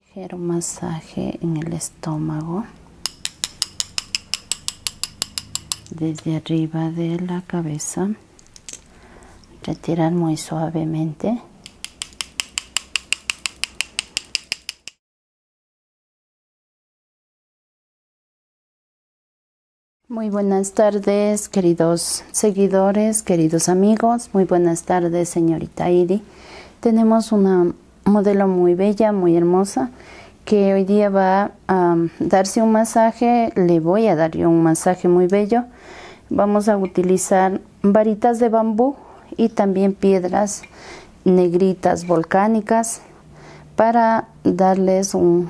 ligero masaje en el estómago desde arriba de la cabeza retirar muy suavemente muy buenas tardes queridos seguidores queridos amigos muy buenas tardes señorita Iri tenemos una modelo muy bella, muy hermosa, que hoy día va a um, darse un masaje, le voy a dar yo un masaje muy bello. Vamos a utilizar varitas de bambú y también piedras negritas volcánicas para darles un,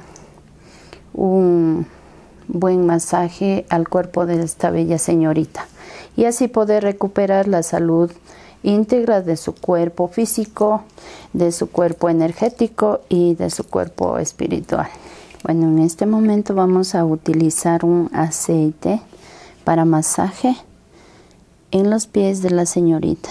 buen masaje al cuerpo de esta bella señorita y así poder recuperar la salud íntegras de su cuerpo físico, de su cuerpo energético y de su cuerpo espiritual. Bueno, en este momento vamos a utilizar un aceite para masaje en los pies de la señorita.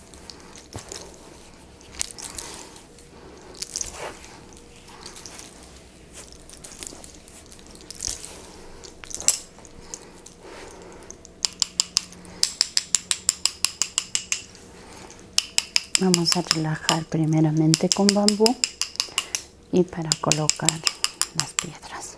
vamos a relajar primeramente con bambú y para colocar las piedras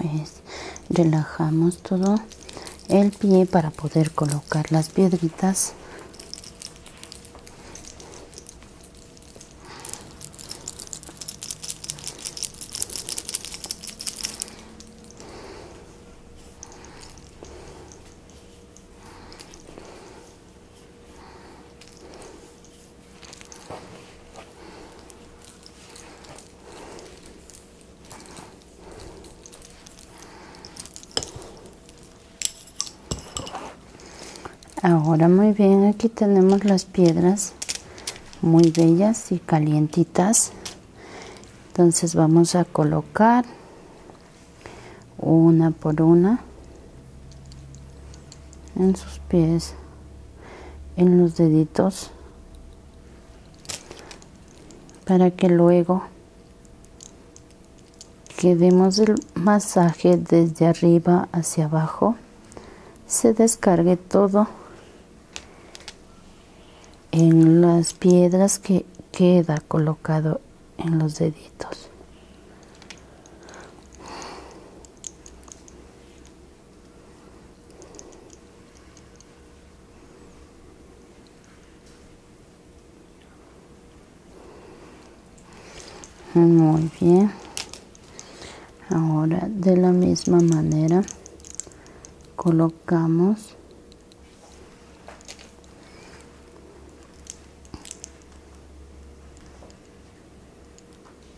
entonces relajamos todo el pie para poder colocar las piedritas ahora muy bien aquí tenemos las piedras muy bellas y calientitas entonces vamos a colocar una por una en sus pies en los deditos para que luego que demos el masaje desde arriba hacia abajo se descargue todo en las piedras que queda colocado en los deditos muy bien ahora de la misma manera colocamos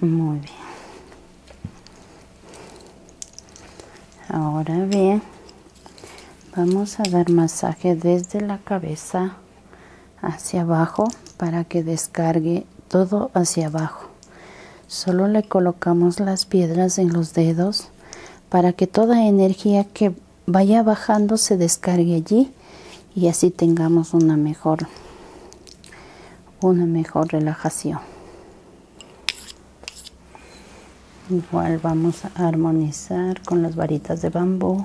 Muy bien. Ahora bien, vamos a dar masaje desde la cabeza hacia abajo para que descargue todo hacia abajo. Solo le colocamos las piedras en los dedos para que toda energía que vaya bajando se descargue allí y así tengamos una mejor una mejor relajación. Igual vamos a armonizar con las varitas de bambú.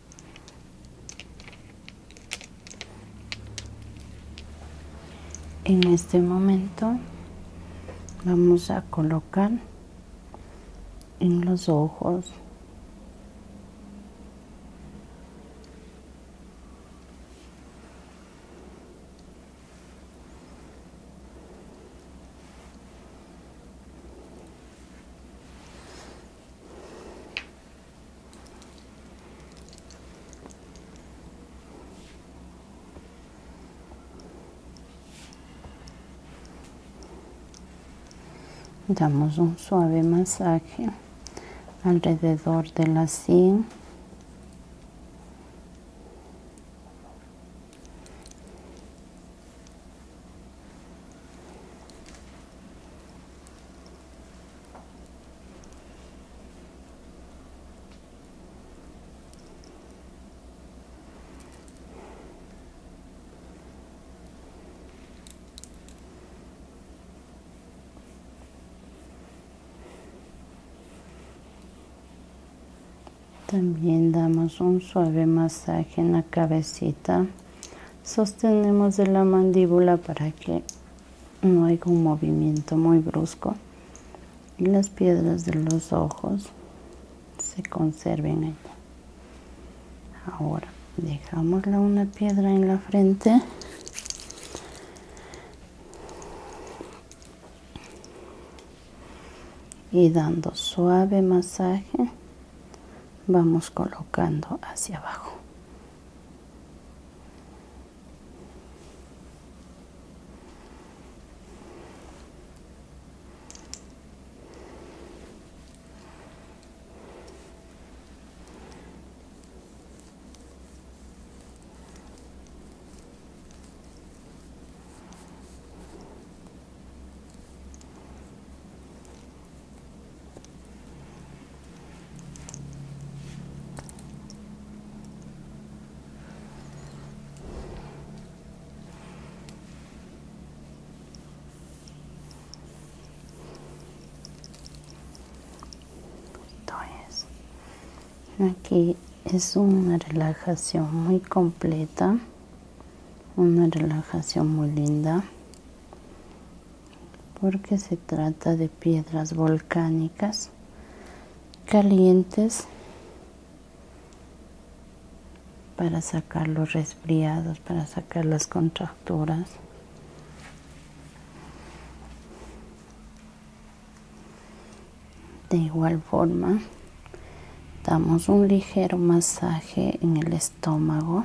en este momento vamos a colocar en los ojos damos un suave masaje alrededor de la sien también damos un suave masaje en la cabecita sostenemos de la mandíbula para que no haya un movimiento muy brusco y las piedras de los ojos se conserven allá. Ahora dejamos la una piedra en la frente. Y dando suave masaje vamos colocando hacia abajo aquí es una relajación muy completa, una relajación muy linda porque se trata de piedras volcánicas calientes para sacar los resfriados, para sacar las contracturas. De igual forma, damos un ligero masaje en el estómago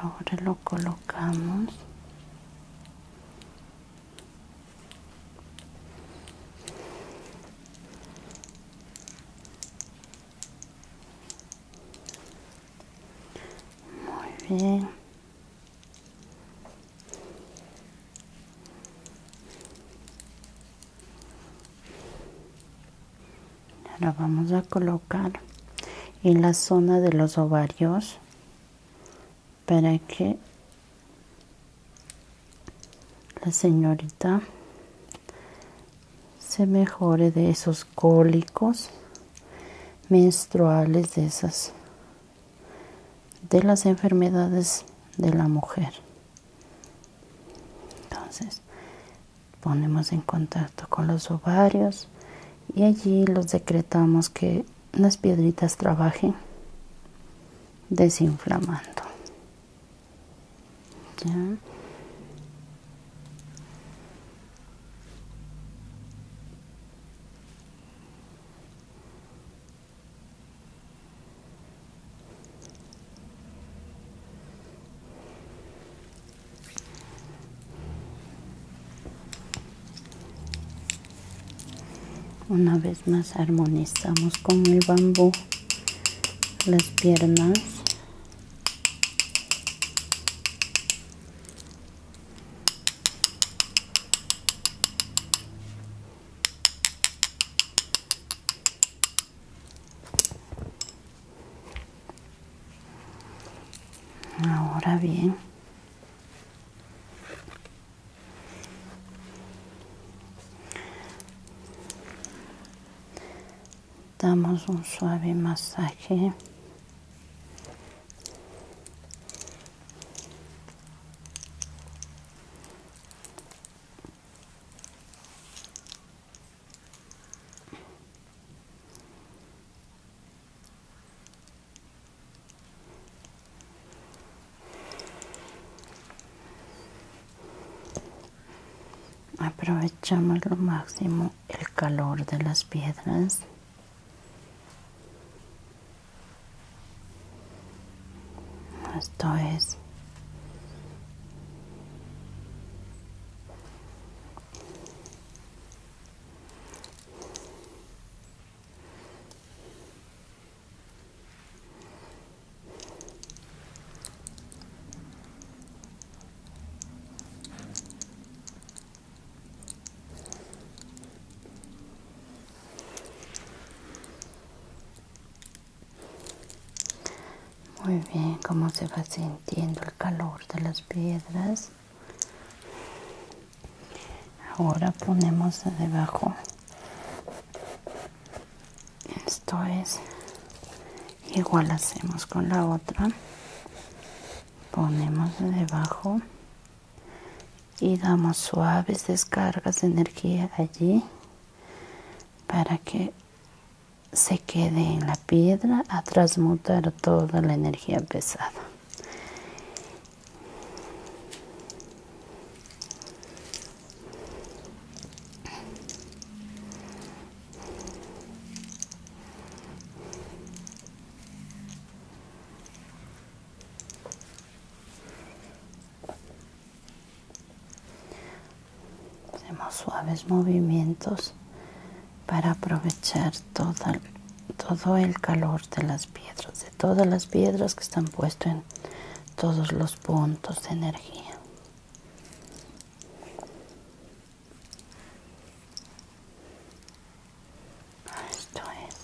ahora lo colocamos muy bien ahora vamos a colocar en la zona de los ovarios para que la señorita se mejore de esos cólicos menstruales de esas de las enfermedades de la mujer entonces ponemos en contacto con los ovarios y allí los decretamos que las piedritas trabajen desinflamando una vez más armonizamos con el bambú las piernas Ahora bien, damos un suave masaje aprovechamos lo máximo el calor de las piedras esto es muy bien, cómo se va sintiendo el calor de las piedras. Ahora ponemos debajo. Esto es igual hacemos con la otra. Ponemos debajo y damos suaves descargas de energía allí para que se quede en la piedra a transmutar toda la energía pesada. Hacemos suaves movimientos para aprovechar todo el calor de las piedras, de todas las piedras que están puestas en todos los puntos de energía. Esto es.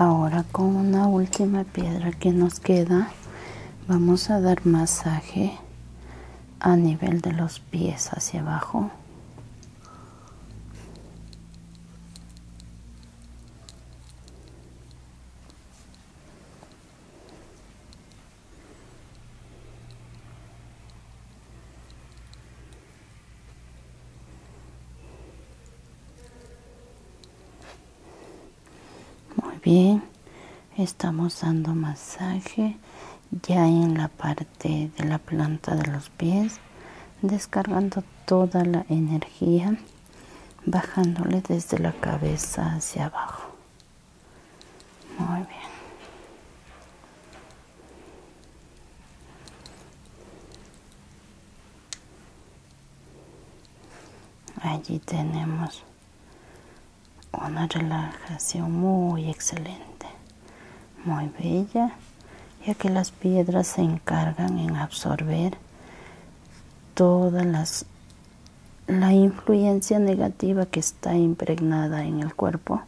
Ahora con una última piedra que nos queda vamos a dar masaje a nivel de los pies hacia abajo muy bien estamos dando masaje ya en la parte de la planta de los pies descargando toda la energía bajándole desde la cabeza hacia abajo muy bien Allí tenemos una relajación muy excelente, muy bella, ya que las piedras se encargan en absorber todas las, la influencia negativa que está impregnada en el cuerpo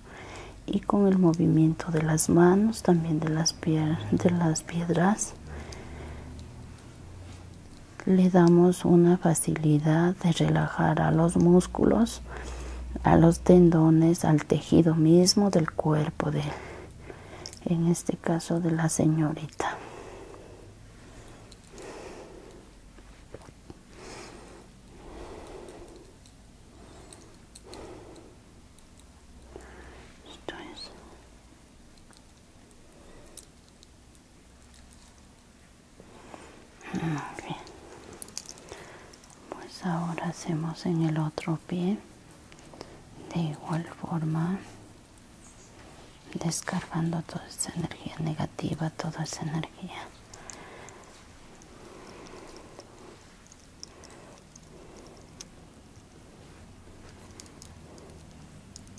y con el movimiento de las manos, también de las piedras, le damos una facilidad de relajar a los músculos, a los tendones, al tejido mismo del cuerpo de, en este caso de la señorita. Esto Ah, pues ahora hacemos en el otro pie de igual forma descargando toda esa energía negativa, toda esa energía.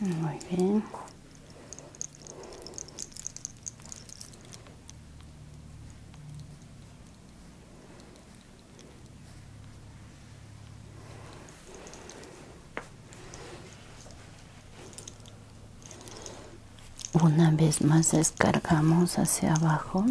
Muy bien. Una vez más descargamos hacia abajo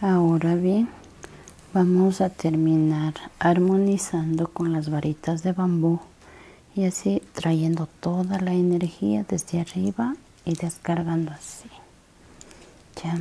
Ahora bien, Vamos a terminar armonizando con las varitas de bambú y así trayendo toda la energía desde arriba y descargando así. ¿Ya?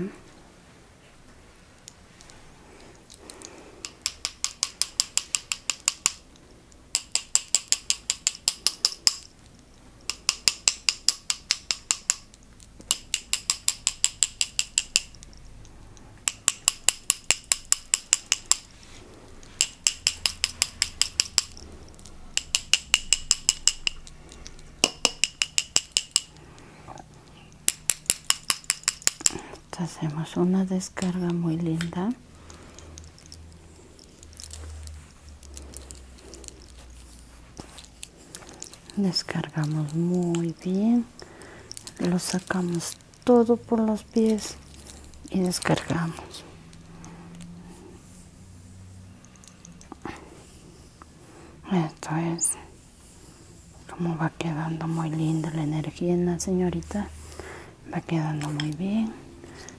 hacemos una descarga muy linda descargamos muy bien lo sacamos todo por los pies y descargamos esto es como va quedando muy linda la energía en la señorita va quedando muy bien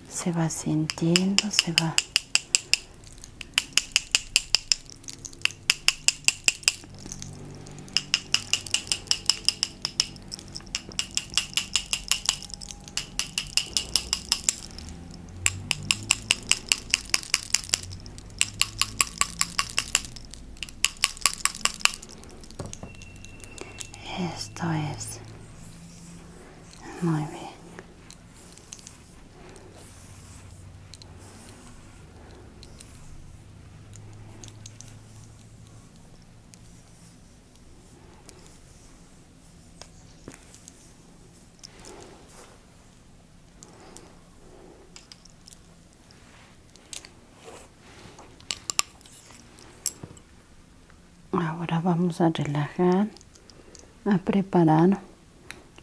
se va sintiendo se va esto es muy bien. Ahora vamos a relajar, a preparar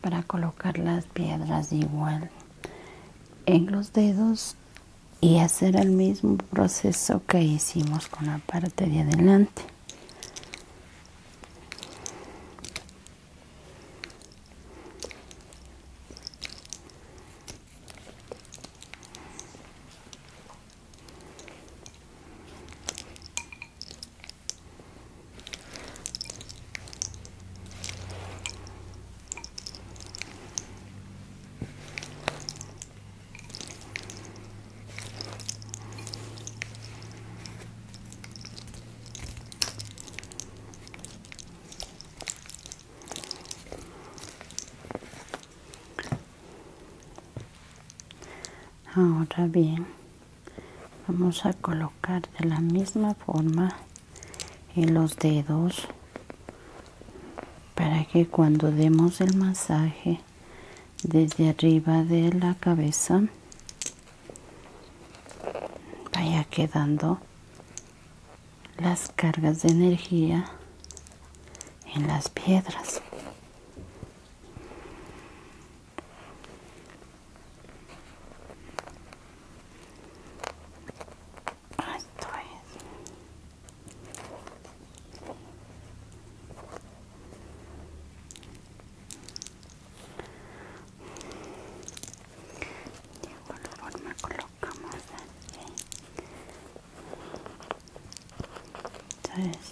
para colocar las piedras igual en los dedos y hacer el mismo proceso que hicimos con la parte de adelante Ahora bien, vamos a colocar de la misma forma en los dedos para que cuando demos el masaje desde arriba de la cabeza vaya quedando las cargas de energía en las piedras esto es. De alguna forma colocamos aquí. Entonces,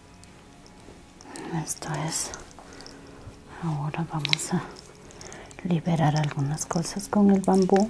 esto es ahora vamos a liberar algunas cosas con el bambú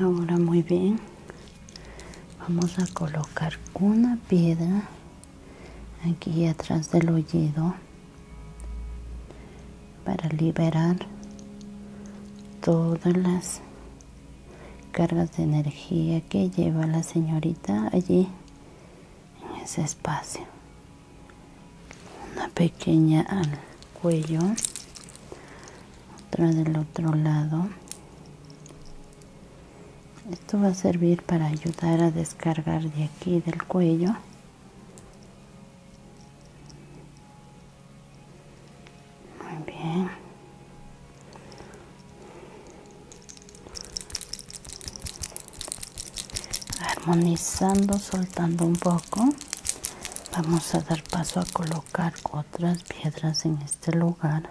Ahora muy bien, vamos a colocar una piedra aquí atrás del oído para liberar todas las cargas de energía que lleva la señorita allí en ese espacio. Una pequeña al cuello, otra del otro lado. Esto va a servir para ayudar a descargar de aquí del cuello muy bien. Armonizando, soltando un poco. Vamos a dar paso a colocar otras piedras en este lugar.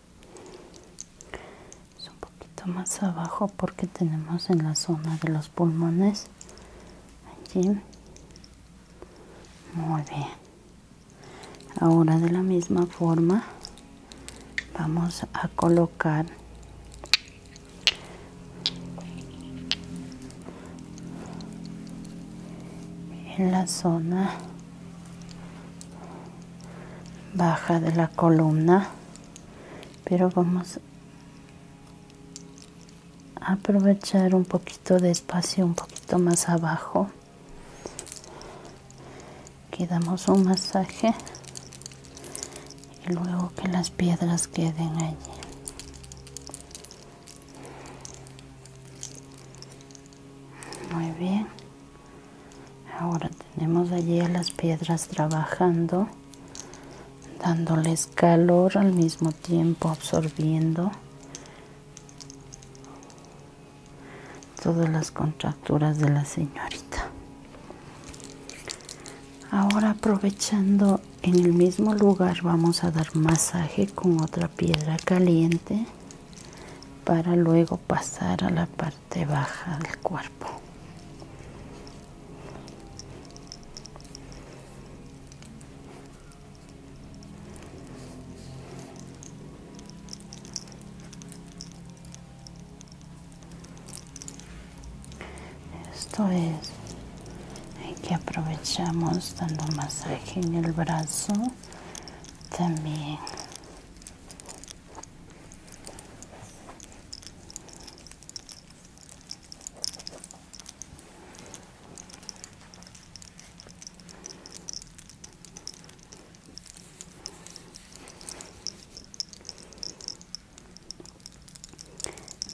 un poquito más abajo porque tenemos en la zona de los pulmones allí muy bien ahora de la misma forma vamos a colocar en la zona baja de la columna pero vamos a aprovechar un poquito de espacio un poquito más abajo que damos un masaje y luego que las piedras queden allí muy bien Ahora tenemos allí a las piedras trabajando, dándoles calor al mismo tiempo absorbiendo todas las contracturas de la señorita. Ahora aprovechando en el mismo lugar vamos a dar masaje con otra piedra caliente para luego pasar a la parte baja del cuerpo. Esto es que aprovechamos dando masaje en el brazo también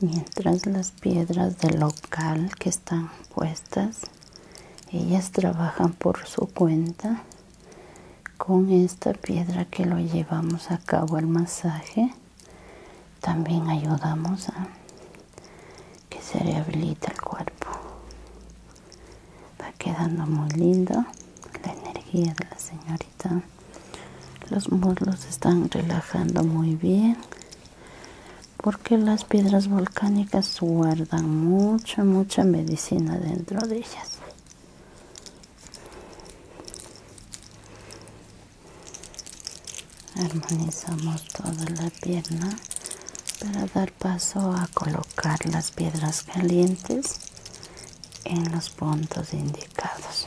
mientras las piedras del local que están puestas ellas trabajan por su cuenta con esta piedra que lo llevamos a cabo el masaje también ayudamos a que se rehabilite el cuerpo va quedando muy lindo la energía de la señorita los muslos están relajando muy bien porque las piedras volcánicas guardan mucha mucha medicina dentro de Armonizamos toda la pierna para dar paso a colocar las piedras calientes en los puntos indicados.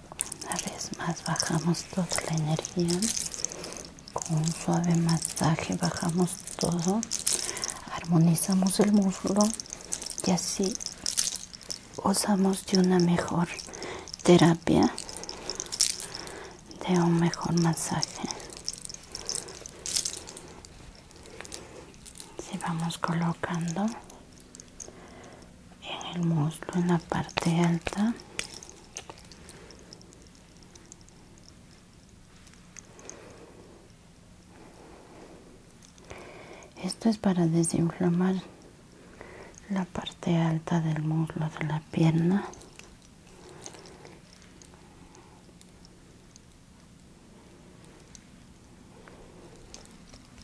una vez más bajamos toda la energía con un suave masaje bajamos todo armonizamos el muslo y así gozamos de una mejor terapia de un mejor masaje si vamos colocando en el muslo en la parte alta esto es para desinflamar la parte alta del muslo de la pierna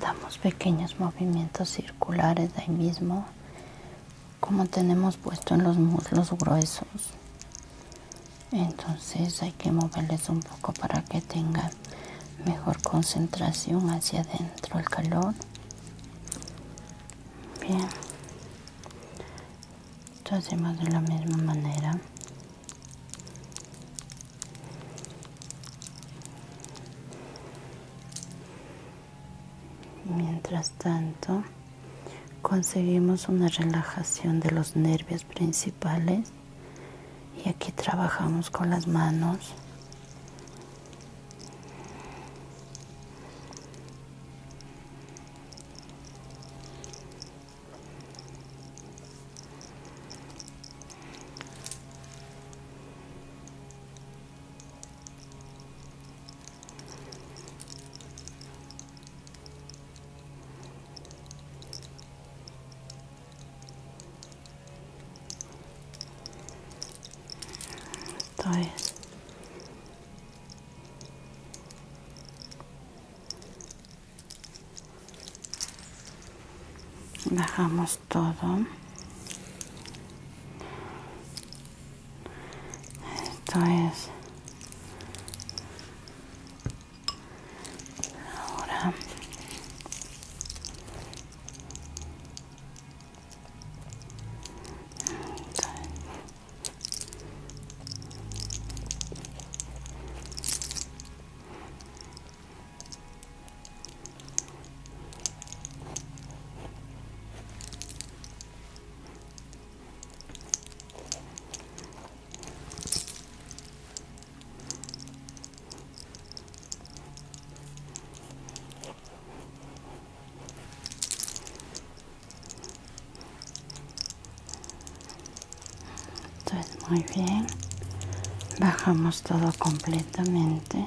damos pequeños movimientos circulares ahí mismo como tenemos puesto en los muslos gruesos entonces hay que moverles un poco para que tengan mejor concentración hacia adentro el calor bien esto hacemos de la misma manera mientras tanto, conseguimos una relajación de los nervios principales. Y aquí trabajamos con las manos. Esto es. Bajamos todo esto es ahora es muy bien bajamos todo completamente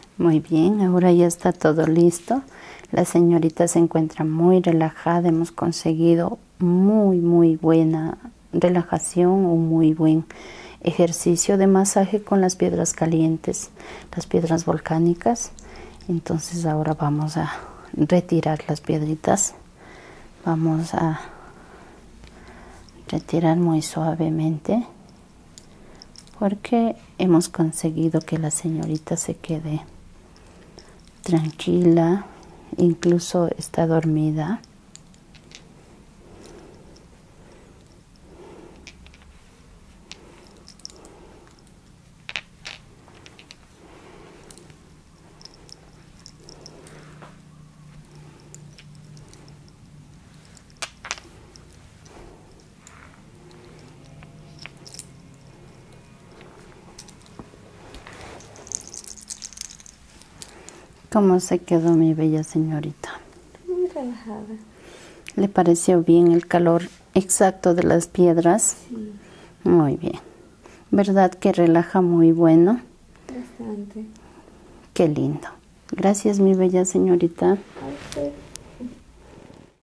Muy bien, ahora ya está todo listo. La señorita se encuentra muy relajada, hemos conseguido muy, muy buena relajación, un muy buen ejercicio de masaje con las piedras calientes, las piedras volcánicas. Entonces ahora vamos a retirar las piedritas. Vamos a retirar muy suavemente porque hemos conseguido que la señorita se quede tranquila, incluso está dormida. ¿Cómo se quedó mi bella señorita? Muy relajada. ¿Le pareció bien el calor exacto de las piedras? Muy bien. ¿Verdad que relaja muy bueno? Bastante. Qué lindo. Gracias, mi bella señorita.